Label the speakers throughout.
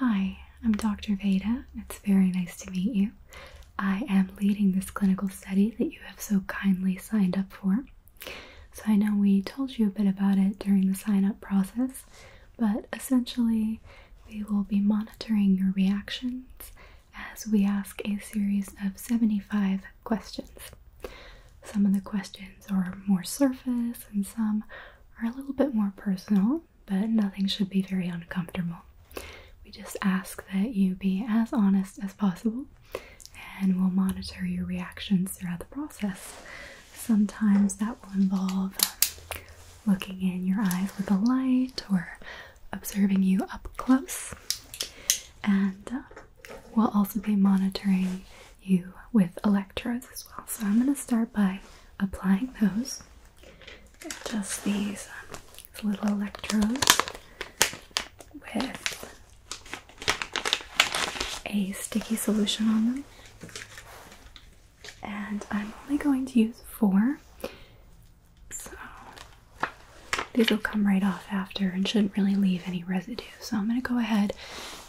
Speaker 1: Hi, I'm Dr. Veda. It's very nice to meet you. I am leading this clinical study that you have so kindly signed up for. So, I know we told you a bit about it during the sign up process, but essentially, we will be monitoring your reactions as we ask a series of 75 questions. Some of the questions are more surface, and some are a little bit more personal but nothing should be very uncomfortable. We just ask that you be as honest as possible and we'll monitor your reactions throughout the process. Sometimes that will involve looking in your eyes with a light or observing you up close. And uh, we'll also be monitoring you with electrodes as well. So I'm going to start by applying those those. just um, these little electrodes with a sticky solution on them. And I'm only going to use four. So these will come right off after and shouldn't really leave any residue. So I'm going to go ahead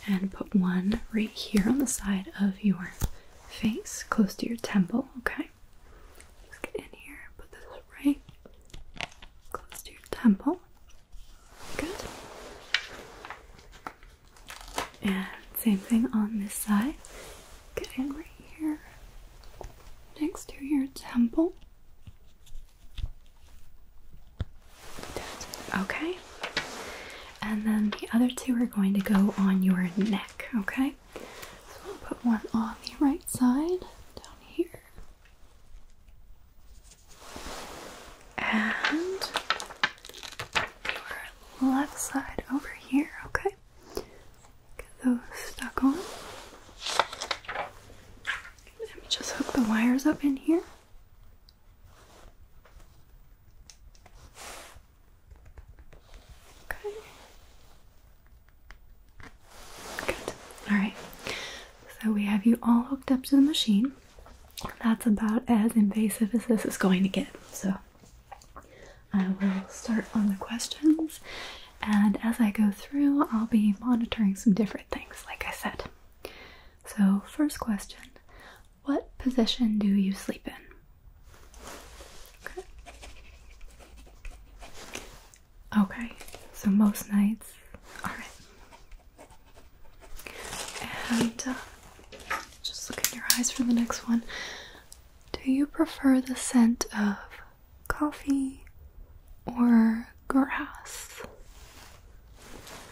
Speaker 1: and put one right here on the side of your face close to your temple, okay? Just get in here, put this right close to your temple. Good. And same thing on this side. Get in right here next to your temple. Okay. And then the other two are going to go on your neck, okay? So I'll put one on the right side, down here. And your left side over here, okay? Get those stuck on. Let me just hook the wires up in here. Okay. Good. Alright. So we have you all hooked up to the machine. That's about as invasive as this is going to get. So I will start on the questions, and as I go through, I'll be monitoring some different things, like I said. So, first question what position do you sleep in? Okay. so most nights. Alright. And uh, just look in your eyes for the next one. Do you prefer the scent of coffee or grass?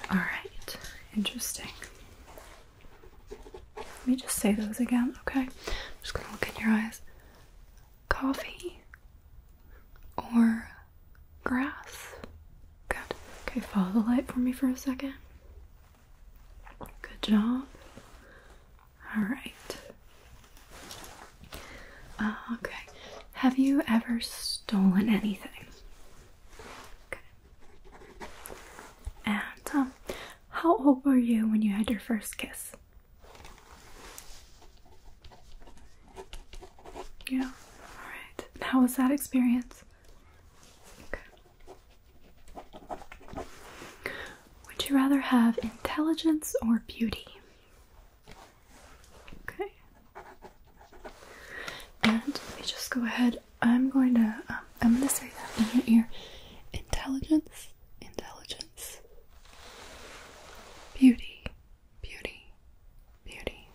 Speaker 1: Alright, interesting. Let me just say those again, okay? I'm just gonna look in your eyes. Coffee or grass? Good. Okay, follow the light for me for a second. Good job. Alright. Uh, okay. Have you ever stolen anything? Okay. And um, how old were you when you had your first kiss? Yeah, alright. How was that experience? Okay. Would you rather have intelligence or beauty? Okay. And let me just go ahead I'm going to um, I'm going to say that in your ear. Intelligence, intelligence. Beauty, beauty, beauty.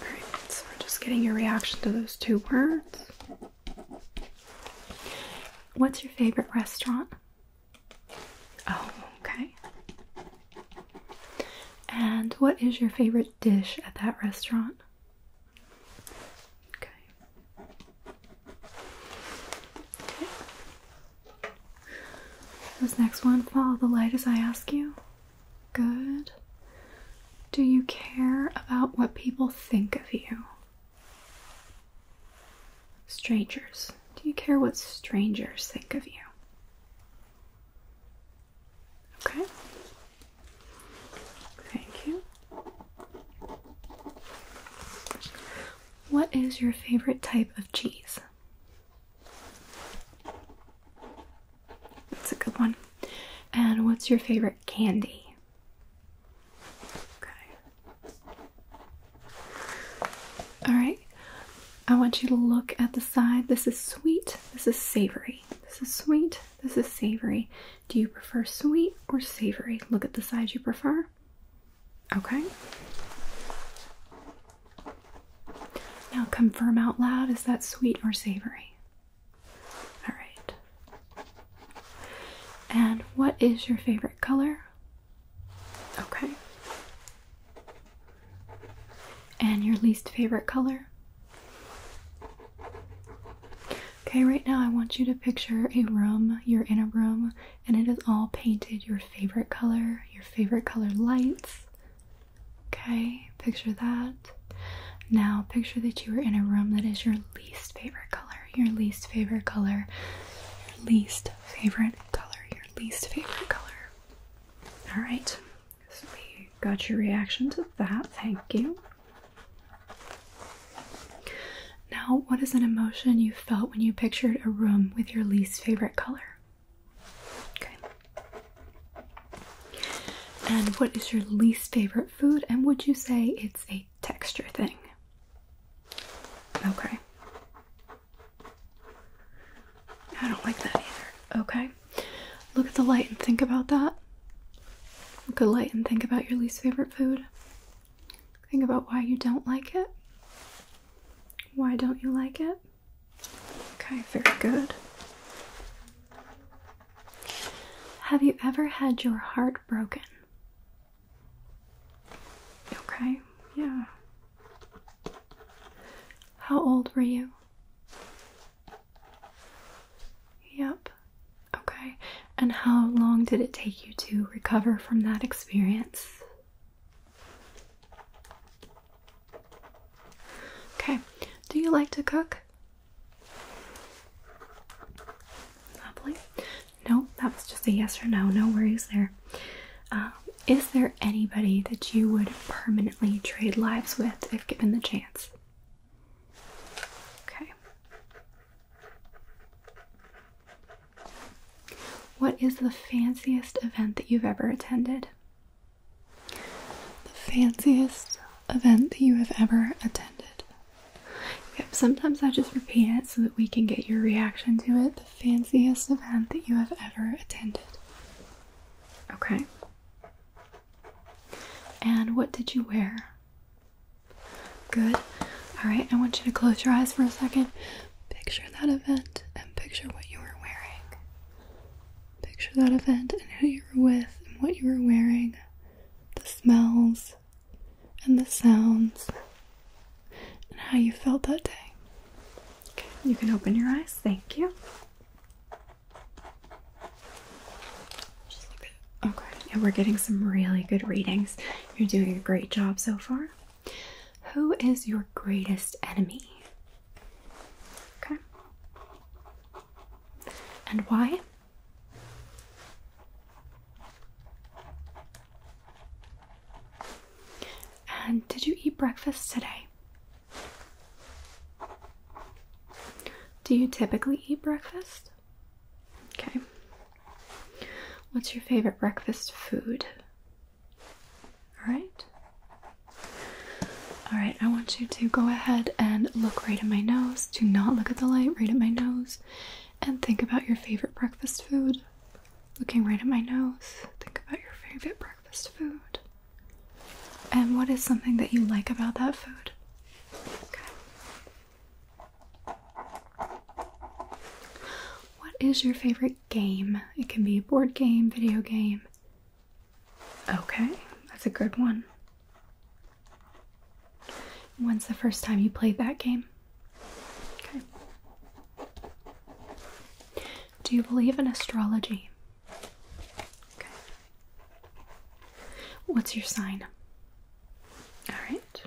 Speaker 1: All right. So we're just getting your reaction to those two words. What's your favorite restaurant? Oh, okay. And what is your favorite dish at that restaurant? Okay. Okay. This next one, follow the light as I ask you. Good. Do you care about what people think of you? Strangers. Do you care what strangers think of you? Okay. Thank you. What is your favorite type of cheese? That's a good one. And what's your favorite candy? Okay. Alright. I want you to look at the side. This is sweet. This is savory. This is sweet. This is savory. Do you prefer sweet or savory? Look at the sides you prefer. Okay. Now confirm out loud is that sweet or savory? All right. And what is your favorite color? Okay. And your least favorite color? Okay, right now I want you to picture a room, you're in a room, and it is all painted your favorite color, your favorite color lights. Okay, picture that. Now picture that you are in a room that is your least favorite color, your least favorite color, your least favorite color, your least favorite color. All right, we got your reaction to that. Thank you. Now, what is an emotion you felt when you pictured a room with your least favorite color? Okay. And what is your least favorite food? And would you say it's a texture thing? Okay. I don't like that either. Okay. Look at the light and think about that. Look at the light and think about your least favorite food. Think about why you don't like it. Why don't you like it? Okay, very good. Have you ever had your heart broken? Okay, yeah. How old were you? Yep, Okay, and how long did it take you to recover from that experience? Okay, do you like to cook? Lovely. No, that was just a yes or no, no worries there. Um, is there anybody that you would permanently trade lives with if given the chance? Okay. What is the fanciest event that you've ever attended? The fanciest event that you have ever attended. Yep, sometimes I just repeat it so that we can get your reaction to it. The fanciest event that you have ever attended. Okay. And what did you wear? Good. All right, I want you to close your eyes for a second. Picture that event and picture what you were wearing. Picture that event and who you were with and what you were wearing, the smells and the sounds, and how you felt that day. Okay, you can open your eyes. Thank you. Just look Okay, oh, and we're getting some really good readings. You're doing a great job so far. Who is your greatest enemy? Okay. And why? And did you eat breakfast today? Do you typically eat breakfast? Okay. What's your favorite breakfast food? All right. All right, I want you to go ahead and look right at my nose. Do not look at the light, right at my nose. And think about your favorite breakfast food. Looking right at my nose, think about your favorite breakfast food. And what is something that you like about that food? Okay. What is your favorite game? It can be a board game, video game. Okay, that's a good one. When's the first time you played that game? Okay. Do you believe in astrology? Okay. What's your sign? All right.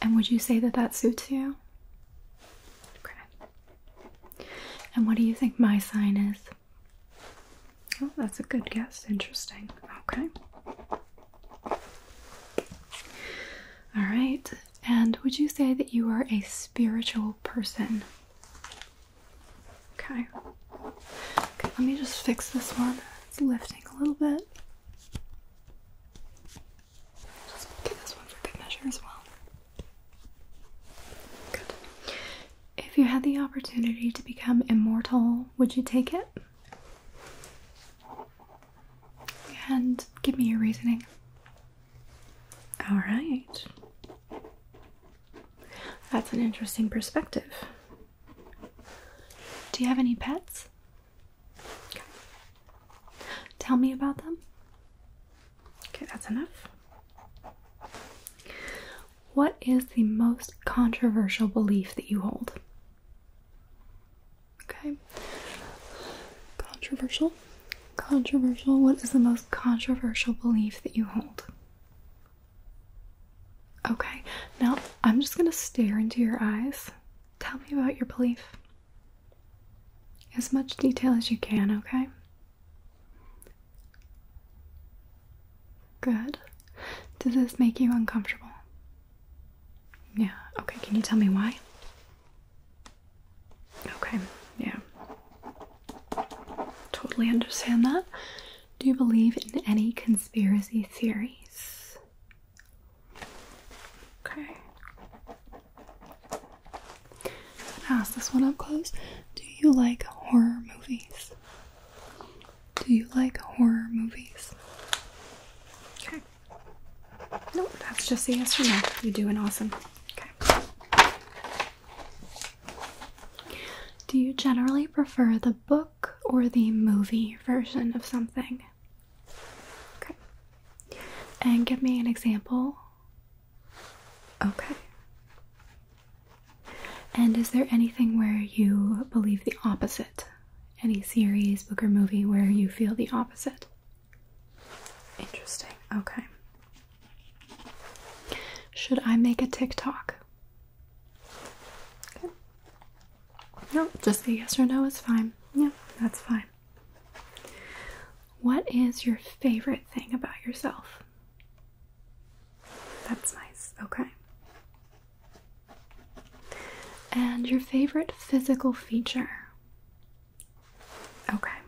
Speaker 1: And would you say that that suits you? Okay. And what do you think my sign is? Oh, that's a good guess. Interesting. Okay. All right. And would you say that you are a spiritual person? Okay. Okay, let me just fix this one. It's lifting a little bit. Just this one for good measure as well. Good. If you had the opportunity to become immortal, would you take it? And give me your reasoning. Alright. That's an interesting perspective. Do you have any pets? Tell me about them. Okay, that's enough. What is the most controversial belief that you hold? Okay. Controversial. Controversial. What is the most controversial belief that you hold? Okay, now I'm just gonna stare into your eyes. Tell me about your belief. As much detail as you can, okay? Good. Does this make you uncomfortable? Yeah, okay, can you tell me why? Okay, yeah. Totally understand that. Do you believe in any conspiracy theories? Okay. Ask this one up close. Do you like horror movies? Do you like horror movies? Okay. Nope, that's just a yes or no. You're doing awesome. Okay. Do you generally prefer the book? or the movie version of something? Okay. And give me an example. Okay. And is there anything where you believe the opposite? Any series, book, or movie where you feel the opposite? Interesting. Okay. Should I make a TikTok? Okay. No, just a yes or no is fine. Yeah, that's fine. What is your favorite thing about yourself? That's nice. Okay. And your favorite physical feature? Okay.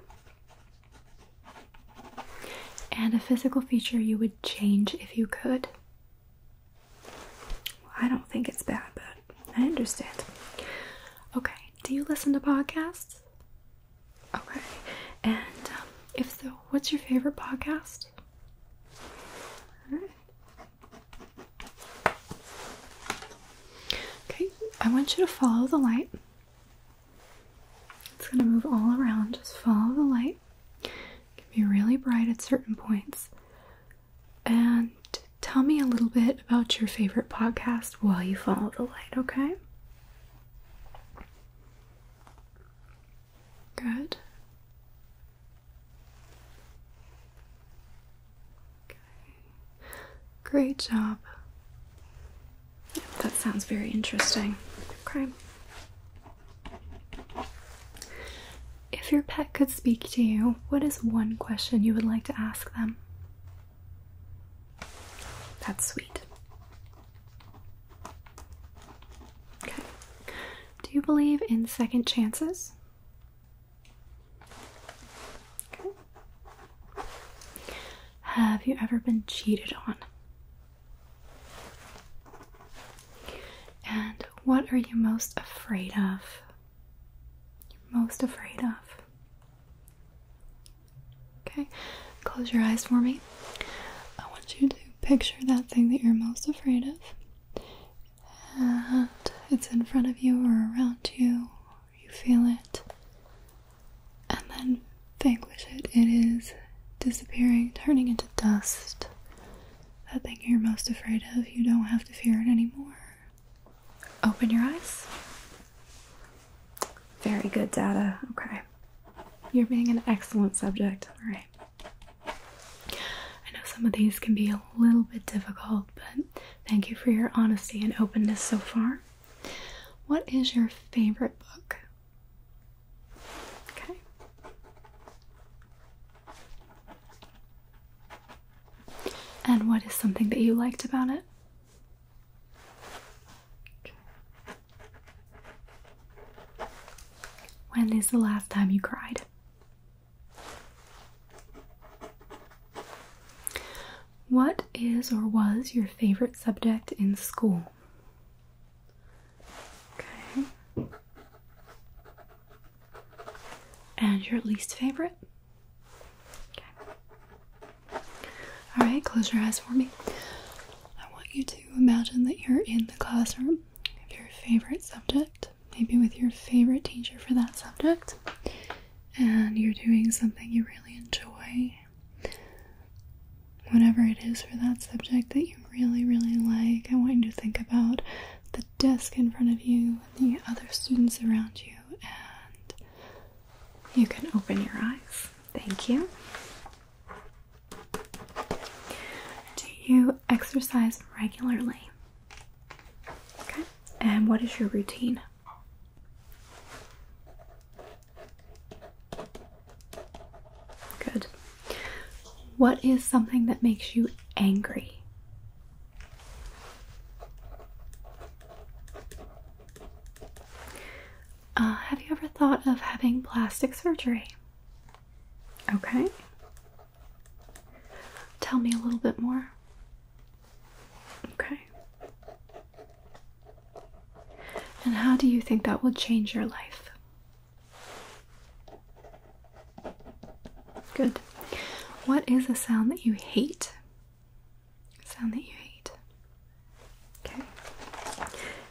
Speaker 1: And a physical feature you would change if you could? I don't think it's bad, but I understand. Okay, do you listen to podcasts? Okay, and um, if so, what's your favorite podcast? Okay, I want you to follow the light. It's going to move all around. Just follow the light. It can be really bright at certain points. And tell me a little bit about your favorite podcast while you follow the light, okay? Good. Great job. That sounds very interesting. Okay. If your pet could speak to you, what is one question you would like to ask them? That's sweet. Okay. Do you believe in second chances? Okay. Have you ever been cheated on? And what are you most afraid of? You're most afraid of. Okay, close your eyes for me. I want you to picture that thing that you're most afraid of. And it's in front of you or around you, you feel it. And then vanquish it. It is disappearing, turning into dust that thing you're most afraid of, you don't have to fear it anymore. Open your eyes. Very good data. Okay. You're being an excellent subject. All right. I know some of these can be a little bit difficult, but thank you for your honesty and openness so far. What is your favorite book? Okay. And what is something that you liked about it? When is the last time you cried? What is or was your favorite subject in school? Okay. And your least favorite? Okay. Alright, close your eyes for me. I want you to imagine that you're in the classroom of your favorite subject, maybe with your favorite teacher for that subject, and you're doing something you really enjoy. Whatever it is for that subject that you really, really like, I want you to think about the desk in front of you and the other students around you, and you can open your eyes. Thank you. Do you exercise regularly? Okay, and what is your routine? Good. What is something that makes you angry? Uh, have you ever thought of having plastic surgery? Okay. Tell me a little bit more. Okay. And how do you think that will change your life? Good. What is a sound that you hate? sound that you hate. Okay.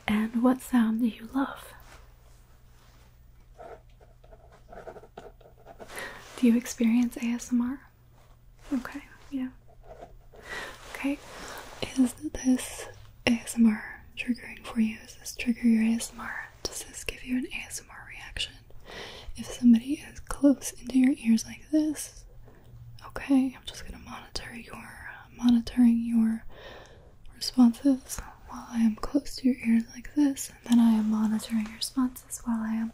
Speaker 1: And what sound do you love? Do you experience ASMR? Okay, yeah. Okay. Is this ASMR triggering for you? Is this trigger your ASMR? Does this give you an ASMR reaction? If somebody is close into your ears like this, okay, I'm just gonna monitor your monitoring your responses while I am close to your ears like this, and then I am monitoring your responses while I am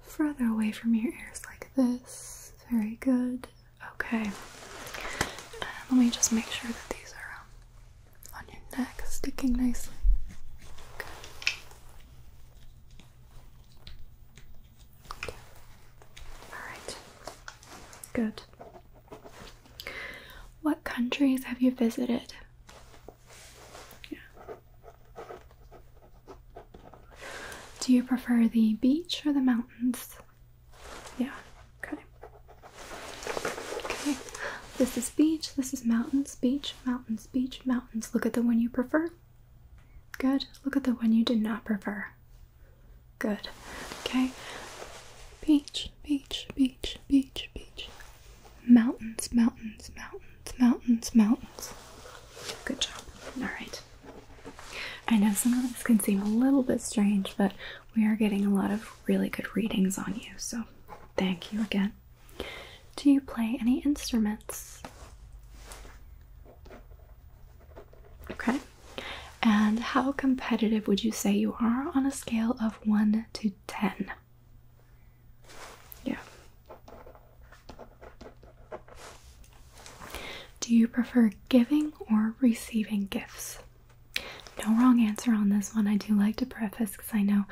Speaker 1: further away from your ears like this. Very good. Okay. Um, let me just make sure that these are um, on your neck, sticking nicely. Good. Alright. Good. What countries have you visited? Yeah. Do you prefer the beach or the mountains? Yeah, okay. Okay. This is beach, this is mountains, beach, mountains, beach, mountains. Look at the one you prefer. Good. Look at the one you did not prefer. Good. Okay. Beach, beach, beach, beach, beach. Mountains, mountains, mountains, mountains, mountains. Good job. All right. I know some of this can seem a little bit strange, but we are getting a lot of really good readings on you, so thank you again. Do you play any instruments? Okay. And how competitive would you say you are on a scale of 1 to 10? Yeah. Do you prefer giving or receiving gifts? No wrong answer on this one. I do like to preface because I know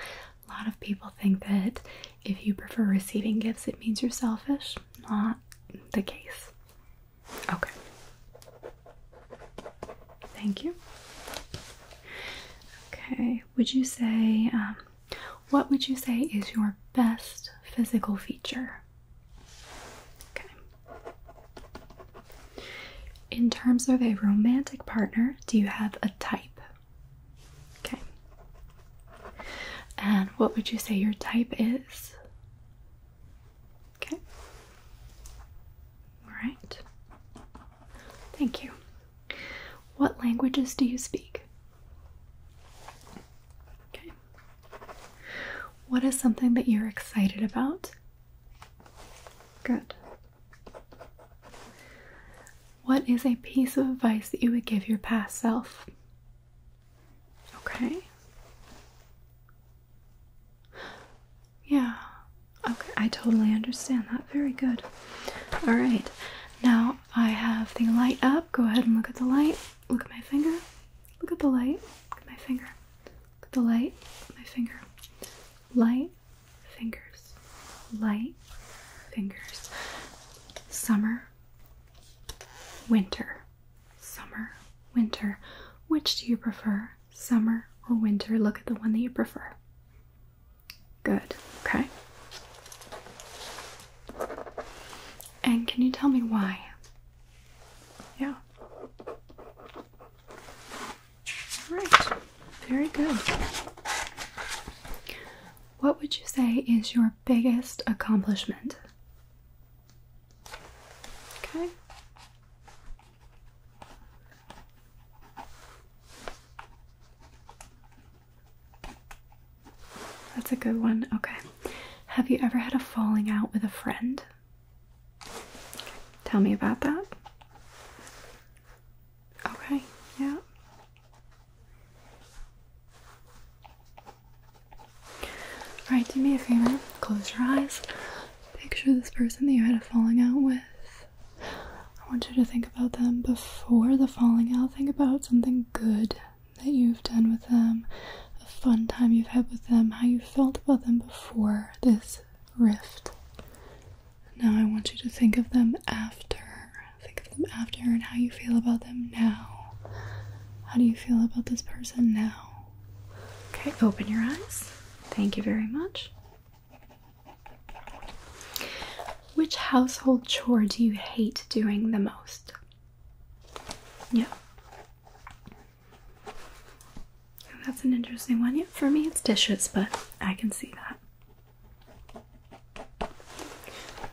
Speaker 1: a lot of people think that if you prefer receiving gifts, it means you're selfish. Not the case. Okay. Thank you. Okay. Would you say, um, what would you say is your best physical feature? Okay. In terms of a romantic partner, do you have a type? Okay. And what would you say your type is? Okay. All right. Thank you. What languages do you speak? Okay. What is something that you're excited about? Good. What is a piece of advice that you would give your past self? Okay. Yeah. Okay, I totally understand that. Very good. All right. Now I have the light up. Go ahead and look at the light. Look at my finger. Look at the light. Look at my finger. Look at the light. Look at my finger light fingers, light fingers, summer, winter, summer, winter. Which do you prefer, summer or winter? Look at the one that you prefer. Good, okay. And can you tell me why? Yeah. Right. very good. What would you say is your biggest accomplishment? Okay. That's a good one. Okay. Have you ever had a falling out with a friend? Tell me about that. Okay, yeah. Alright, do me a favor. Close your eyes. Picture this person that you had a falling out with. I want you to think about them before the falling out. Think about something good that you've done with them, a fun time you've had with them, how you felt about them before this rift. Now I want you to think of them after. Think of them after and how you feel about them now. How do you feel about this person now? Okay, open your eyes. Thank you very much. Which household chore do you hate doing the most? Yeah. That's an interesting one. Yeah, for me it's dishes, but I can see that.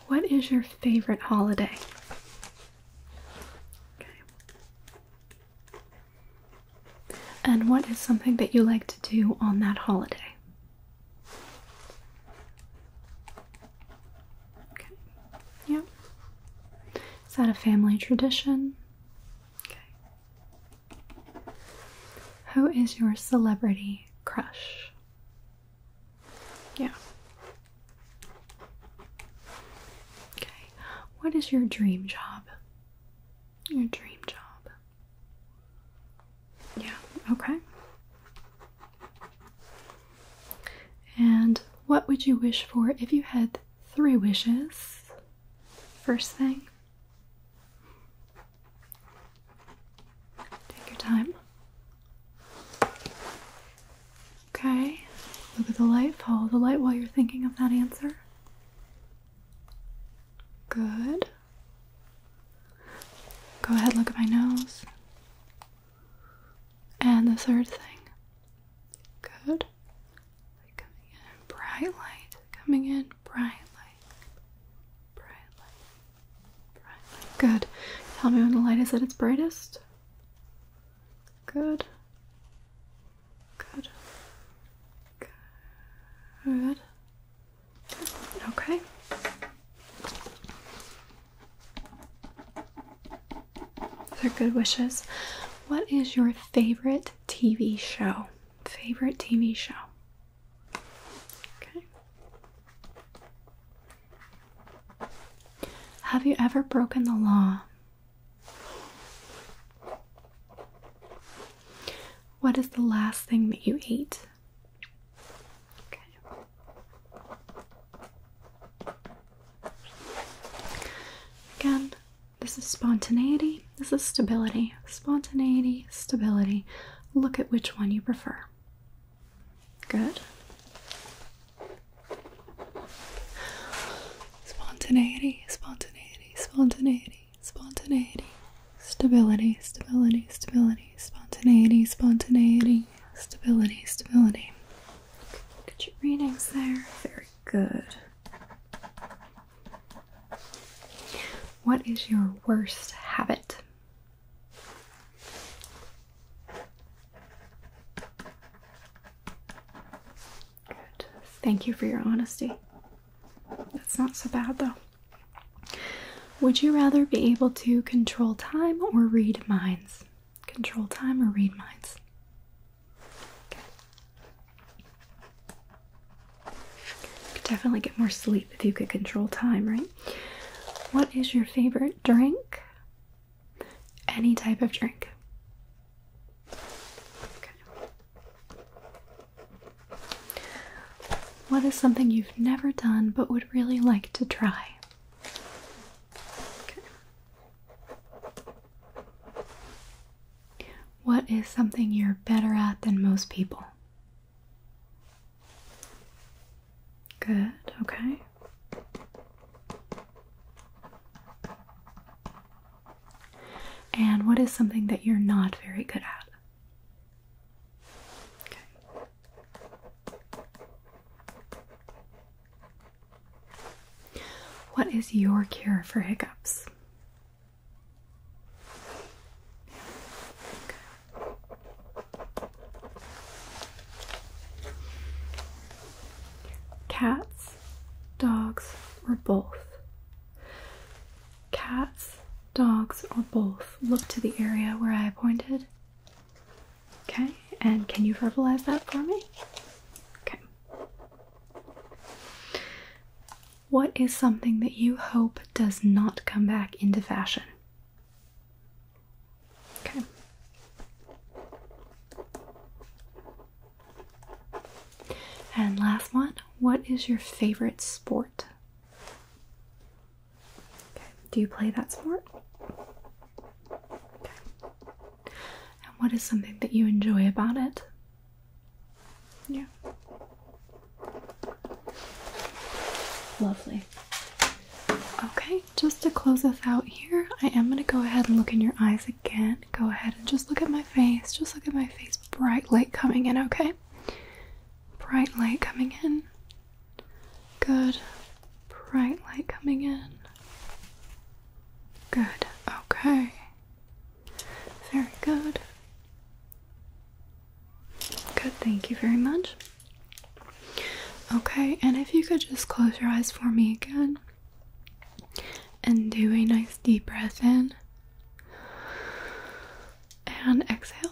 Speaker 1: What is your favorite holiday? And what is something that you like to do on that holiday? Okay. Is that a family tradition? Who is your celebrity crush? Yeah. Okay. What is your dream job? Your dream job. Yeah, okay. And what would you wish for if you had three wishes? First thing. Take your time. Okay, look at the light, follow the light while you're thinking of that answer. Good. Go ahead, look at my nose. And the third thing. Good. bright light coming in and bright light. Good. Tell me when the light is at its brightest. Good. Good. Good. Okay. Those are good wishes. What is your favorite TV show? Favorite TV show? Have you ever broken the law? What is the last thing that you ate? Again, this is spontaneity, this is stability. Spontaneity, stability look at which one you prefer. Good. Spontaneity, spontaneity, spontaneity, spontaneity. Stability, stability, stability, spontaneity, spontaneity, stability, stability. Okay, look at your readings there. Very good. What is your worst habit? Thank you for your honesty. That's not so bad though. Would you rather be able to control time or read minds? Control time or read minds? You could definitely get more sleep if you could control time, right? What is your favorite drink? Any type of drink. What is something you've never done but would really like to try? What is something you're better at than most people? Good, okay. And what is something that you're not very good at? What is your cure for hiccups? Cats, dogs, or both? Cats, dogs, or both? Look to the area where I pointed. Okay, and can you verbalize that for me? Okay. What is something that you hope does not come back into fashion? Okay. And last one, what is your favorite sport? Do you play that sport? And what is something that you enjoy about it? Yeah. Lovely. Okay, just to close us out here, I am going to go ahead and look in your eyes again. Go ahead and just look at my face. Just look at my face. Bright light coming in, okay? Bright light coming in. Good. Bright light coming in. Good. Okay. Very good. Good, thank you very much. Okay, and if you could just close your eyes for me again and do a nice deep breath in and exhale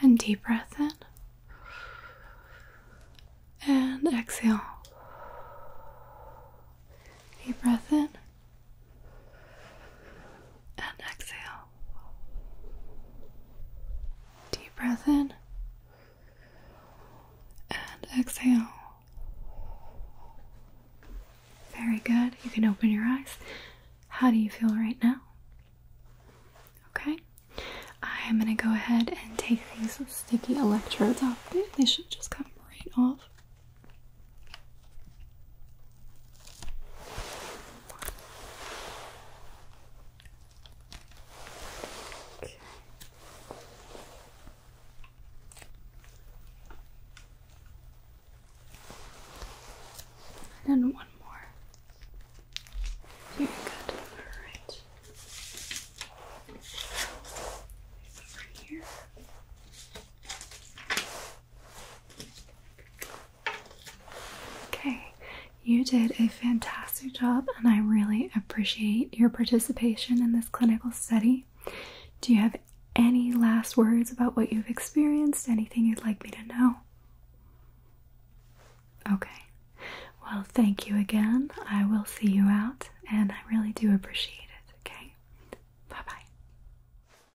Speaker 1: and deep breath in and exhale. Deep breath in and exhale. Deep breath in and exhale. Very good. You can open your eyes. How do you feel right now? Okay. I am going to go ahead and take these sticky electrodes off. They should just come right off. And then one more. Very good. Alright. Over here. Okay, you did a fantastic job, and I really appreciate your participation in this clinical study. Do you have any last words about what you've experienced? Anything you'd like me to know? Okay, well, thank you again. I will see you out, and I really do appreciate it. Okay, bye bye.